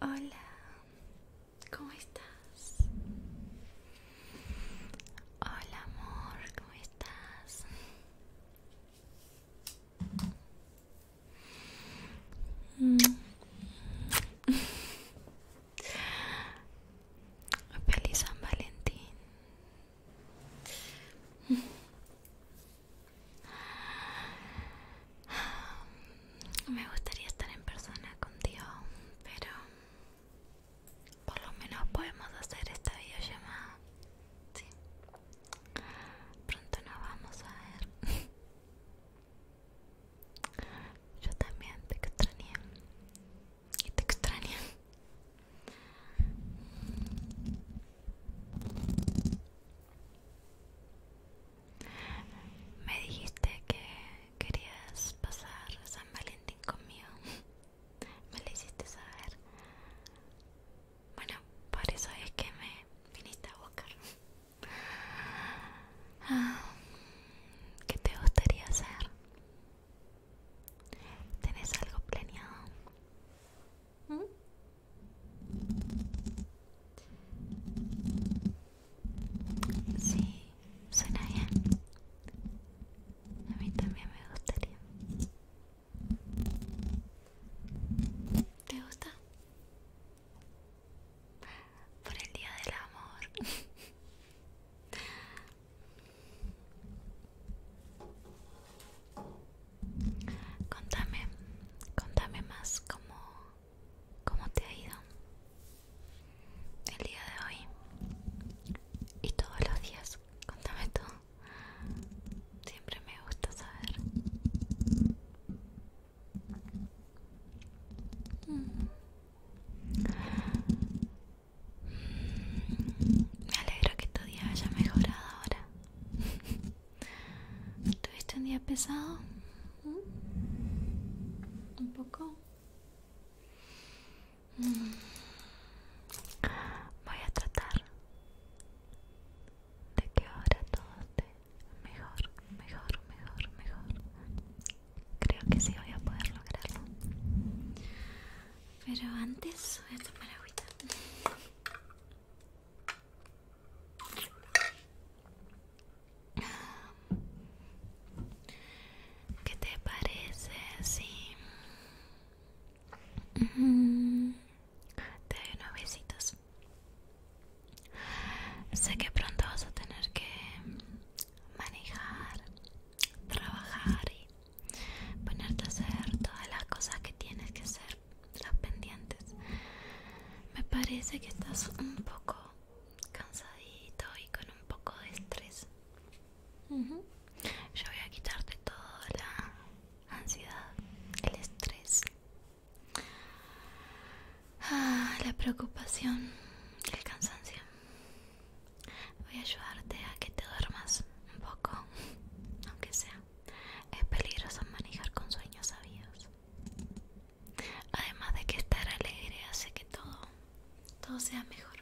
Hola, ¿cómo estás? Hola amor, ¿cómo estás? Feliz San Valentín. Me gustaría estar en persona contigo, pero por lo menos podemos hacer esta videollamada. Sí. Pronto nos vamos a ver. Yo también te extrañé. Y te extrañé. Me dijiste que querías pasar San Valentín conmigo. Me lo hiciste saber. Bueno, por eso es que me viniste a buscar. Ah, ¿Qué te gustaría hacer? ¿Tenés algo planeado? ¿Mm? Sí, suena bien. A mí también me gustaría. ¿Te gusta? Por el día del amor. Contame, contame más cómo, cómo te ha ido el día de hoy y todos los días. Contame tú. Siempre me gusta saber. Mm. Mm. Me alegro que tu día haya mejorado ahora. ¿Tuviste un día pesado? ¿Mm? ¿Un poco? Mm. Voy a tratar de que ahora todo esté mejor, mejor, mejor, mejor. Creo que sí voy a poder lograrlo. Pero antes voy a tomar agüita. ¿Qué te parece si mm, te doy un besitos? Sé que pronto vas a tener que manejar, trabajar y ponerte a hacer todas las cosas que tienes que hacer, las pendientes. Me parece que estás un poco cansadito y con un poco de estrés. Yo voy a quitarte toda la ansiedad, el estrés, ah, la preocupación, el cansancio. Voy a ayudarte a que te duermas un poco, aunque sea. Es peligroso manejar con sueños sabios. Además de que estar alegre hace que todo, todo sea mejor.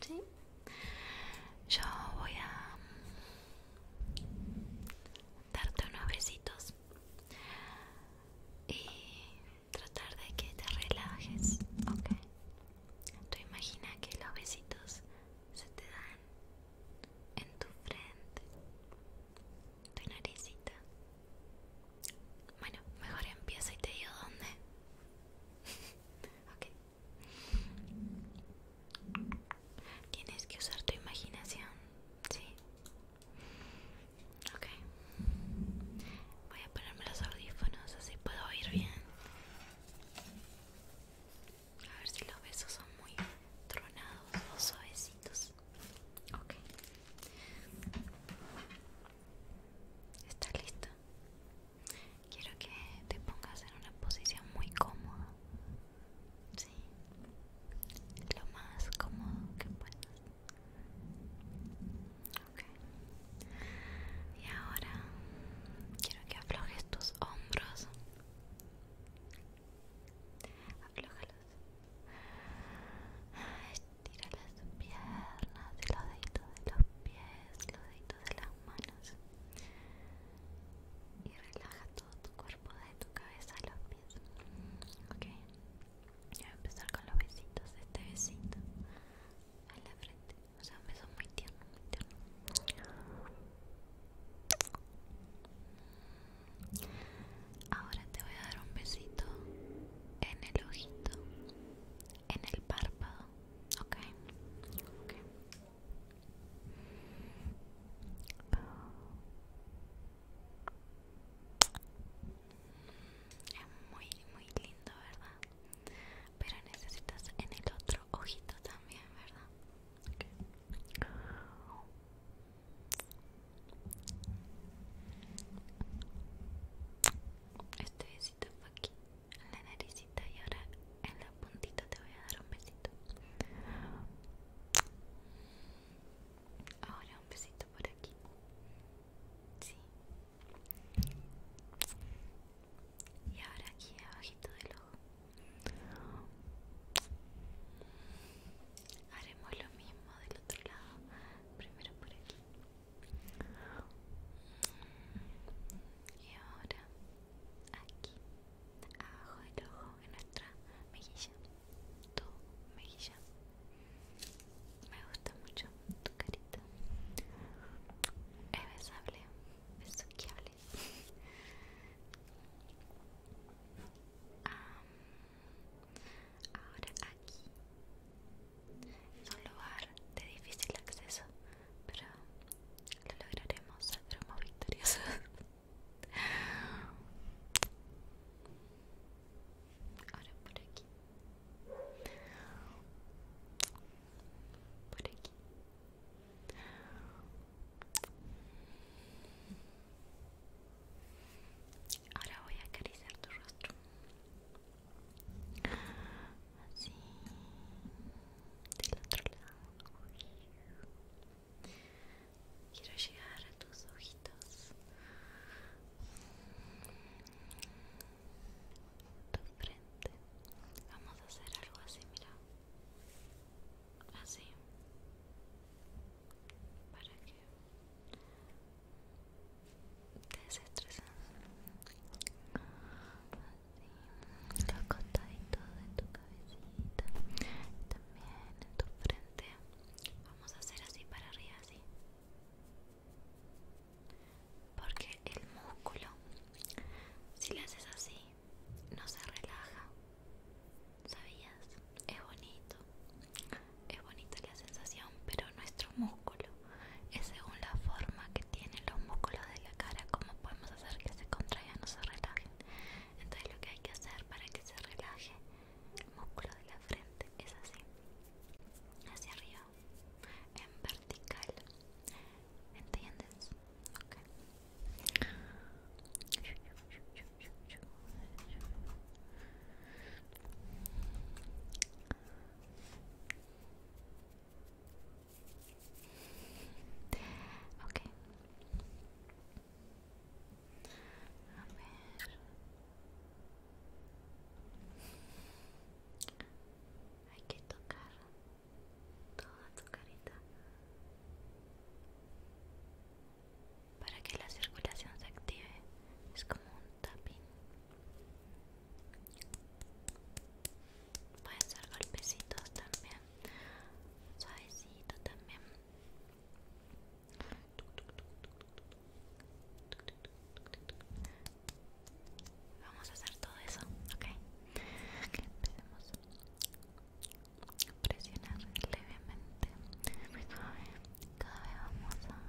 ¿Sí? Yo voy a darte unos besitos y tratar de que te relajes, ¿ok? Tú imaginas que los besitos se te dan en tu frente, tu naricita. Bueno, mejor empieza y te digo dónde. ok. Tienes que usar tu imaginación, ¿sí? Ok. Voy a ponerme los audífonos así puedo oír bien. A ver si los besos son muy tronados o suavecitos. Ok. ¿Está listo? Quiero que te pongas en una posición muy cómoda. Sí. Lo más cómodo que puedas. Y ahora quiero que aflojes tus hombros. Aflojalos Estira las piernas, los deditos de los pies, los deditos de las manos. Y relaja todo tu cuerpo de tu cabeza a los pies. Ok. Voy a empezar con los besitos. Este besito En la frente. O sea, un beso muy tierno, muy tierno. Ahora te voy a dar un besito en el ojito, en el párpado, ¿ok? Es muy, muy lindo, ¿verdad? pero necesitas en el otro ojito también, ¿verdad? Este besito fue aquí, en la naricita y ahora en la puntita te voy a dar un besito. Ahora un besito por aquí. Sí, y ahora aquí abajito del ojo haremos lo mismo del otro lado primero por aquí y ahora aquí abajo del ojo en nuestra mejilla tu mejilla me gusta mucho tu carita. Es besable, besuqueable. um, ah, ahora aquí En un lugar de difícil acceso, pero lo lograremos, saldremos victoriosos. Ahora por aquí por aquí ahora voy a acariciar tu rostro así del otro lado quiero llegar a tus ojitos tu frente vamos a hacer algo así mira así para que te desestreses así los costaditos de tu cabecita también en tu frente vamos a hacer así para arriba así porque el músculo si lo haces así no se relaja sabías es bonito es bonita la sensación pero nuestro músculo es según la forma que tienen los músculos de la cara como podemos hacer que se contraigan o se relajen entonces lo que hay que hacer para que se relaje el músculo de la frente es así hacia arriba en vertical ¿entiendes? ok a ver hay que tocar toda tu carita para que la circulación se active. Es como un tapping. Pueden ser golpecitos también, suavecito también. Vamos a hacer todo eso, ok. okay empecemos a presionar levemente. Cada vez vamos a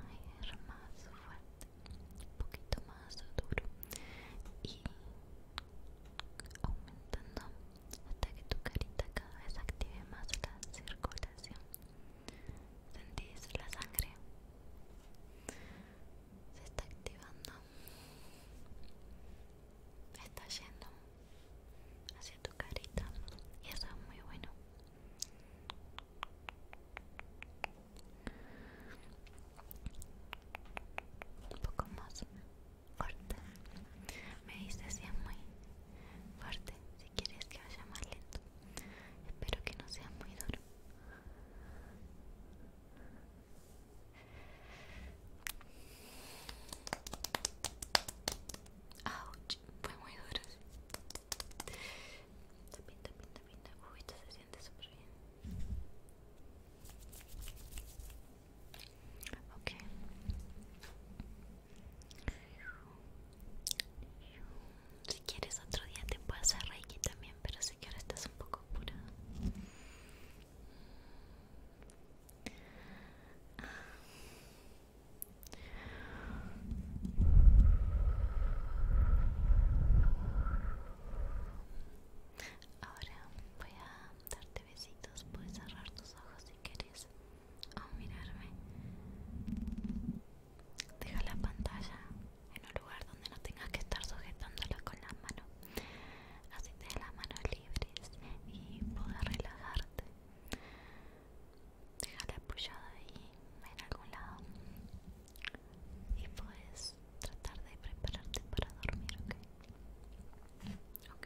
ir más fuerte, un poquito más duro y aumentando hasta que tu carita cada vez active más la circulación. Sentís la sangre se está activando, está yendo hacia tu carita y eso es muy bueno. Un poco más fuerte. Me dice si es muy fuerte. Si quieres que vaya más lento. Espero que no sea muy duro. Pinta fue muy duro. pinta, pinta, pinta Uy, esto se siente súper bien. Ok. Si quieres otro día te puedo hacer reiki también, pero sé que ahora estás un poco apurado. Ahora voy a darte besitos, puedes cerrar tus ojos si quieres o mirarme. Deja la pantalla en un lugar donde no tengas que estar sujetándola con las manos. Así te las manos libres y puedes relajarte. Déjala apoyada ahí en algún lado y puedes tratar de prepararte para dormir, ¿ok? ok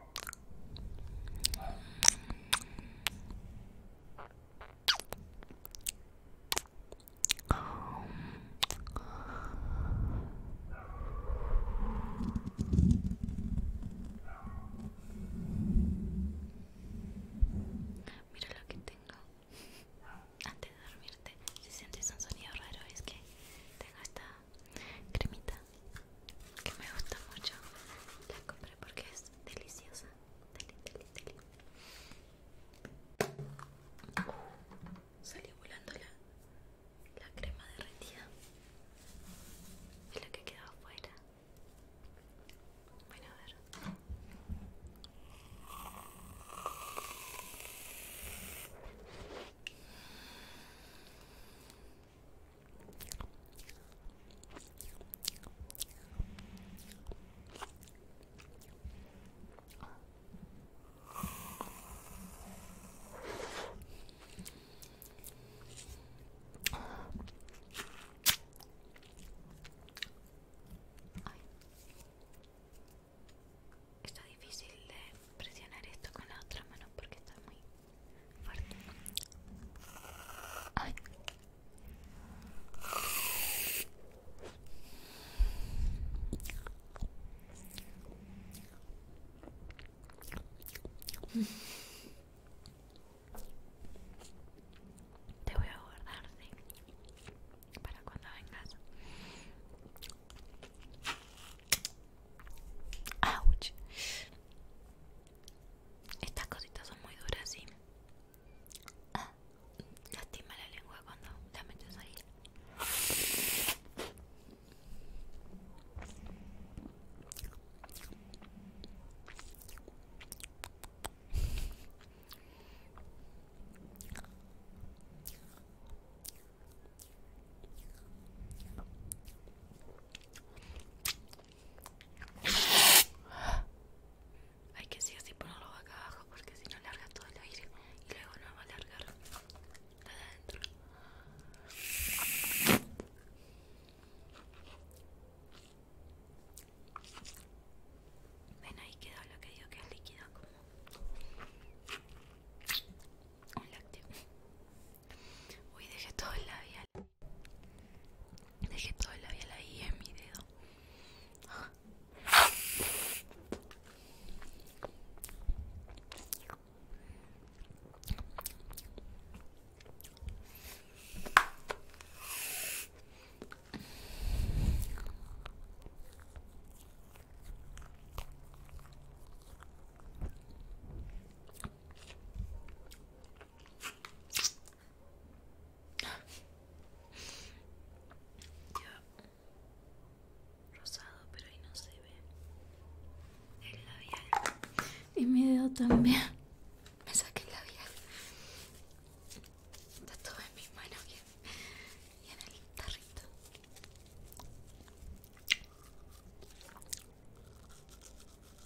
Mira lo que tengo antes de dormirte. Si sientes un sonido raro, es que tengo esta cremita que me gusta mucho la compré porque es deliciosa salió volando la, la crema derretida es lo que quedó afuera bueno a ver Está difícil de presionar esto con la otra mano porque está muy te voy a guardar, para cuando vengas. Estas cositas son muy duras, sí. Ah, lastima la lengua cuando la metes ahí. Hay que sí así ponerlo acá abajo porque si no alarga todo el aire y luego no va a La de adentro. Ven ahí quedó lo que digo que es líquido como un lácteo. Uy, dejé todo el labial. Dejé todo el labial ahí en mi dedo rosado, pero ahí no se ve el labial. Y mi dedo también. Me saqué el labial. Está todo en mis manos y en, y en el tarrito.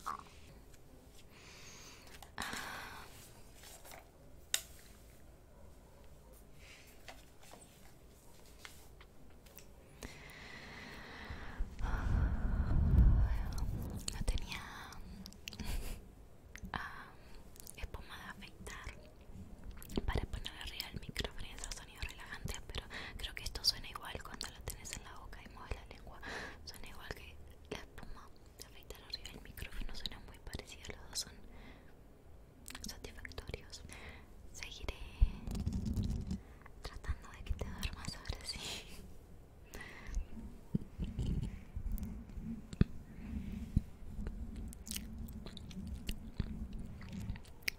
Ah. No tenía ah, espuma de afeitar para poner arriba el micrófono pero creo que esto suena igual cuando lo tenés en la boca y mueves la lengua. Suena igual que la espuma de afeitar arriba del micrófono, suena muy parecido, los dos son satisfactorios. Seguiré tratando de que te duermas ahora sí.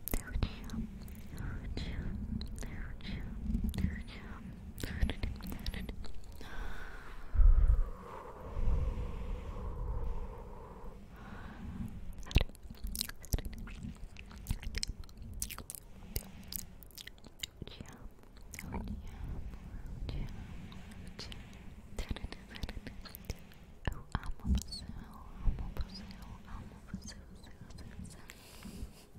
Oh, I'm so, oh, I'm so, so, so, so, so.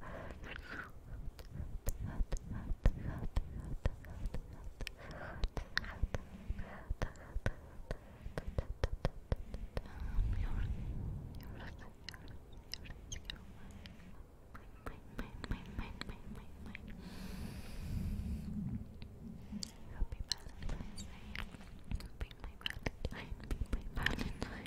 Happy Valentine's Day. Happy my Valentine. Happy my Valentine.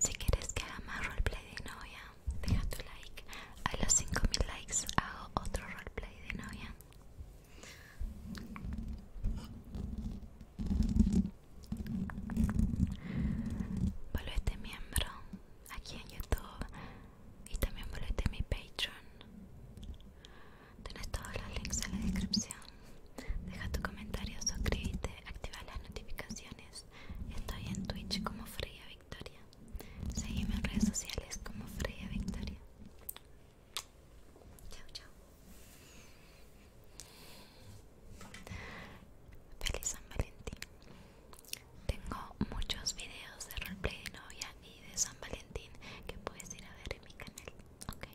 Si quieres que haga más roleplay de novia, deja tu like. A los 5000 likes hago otro roleplay de novia. Volvete miembro aquí en YouTube y también volvete mi Patreon. Tienes todos los links en la descripción. Deja tu comentario, suscríbete, activa las notificaciones. Estoy en Twitch como Fría Victoria. Seguime en redes sociales como Freya Victoria. Chao, chao. Feliz San Valentín. Tengo muchos videos de roleplay de novia y de San Valentín que puedes ir a ver en mi canal. Ok.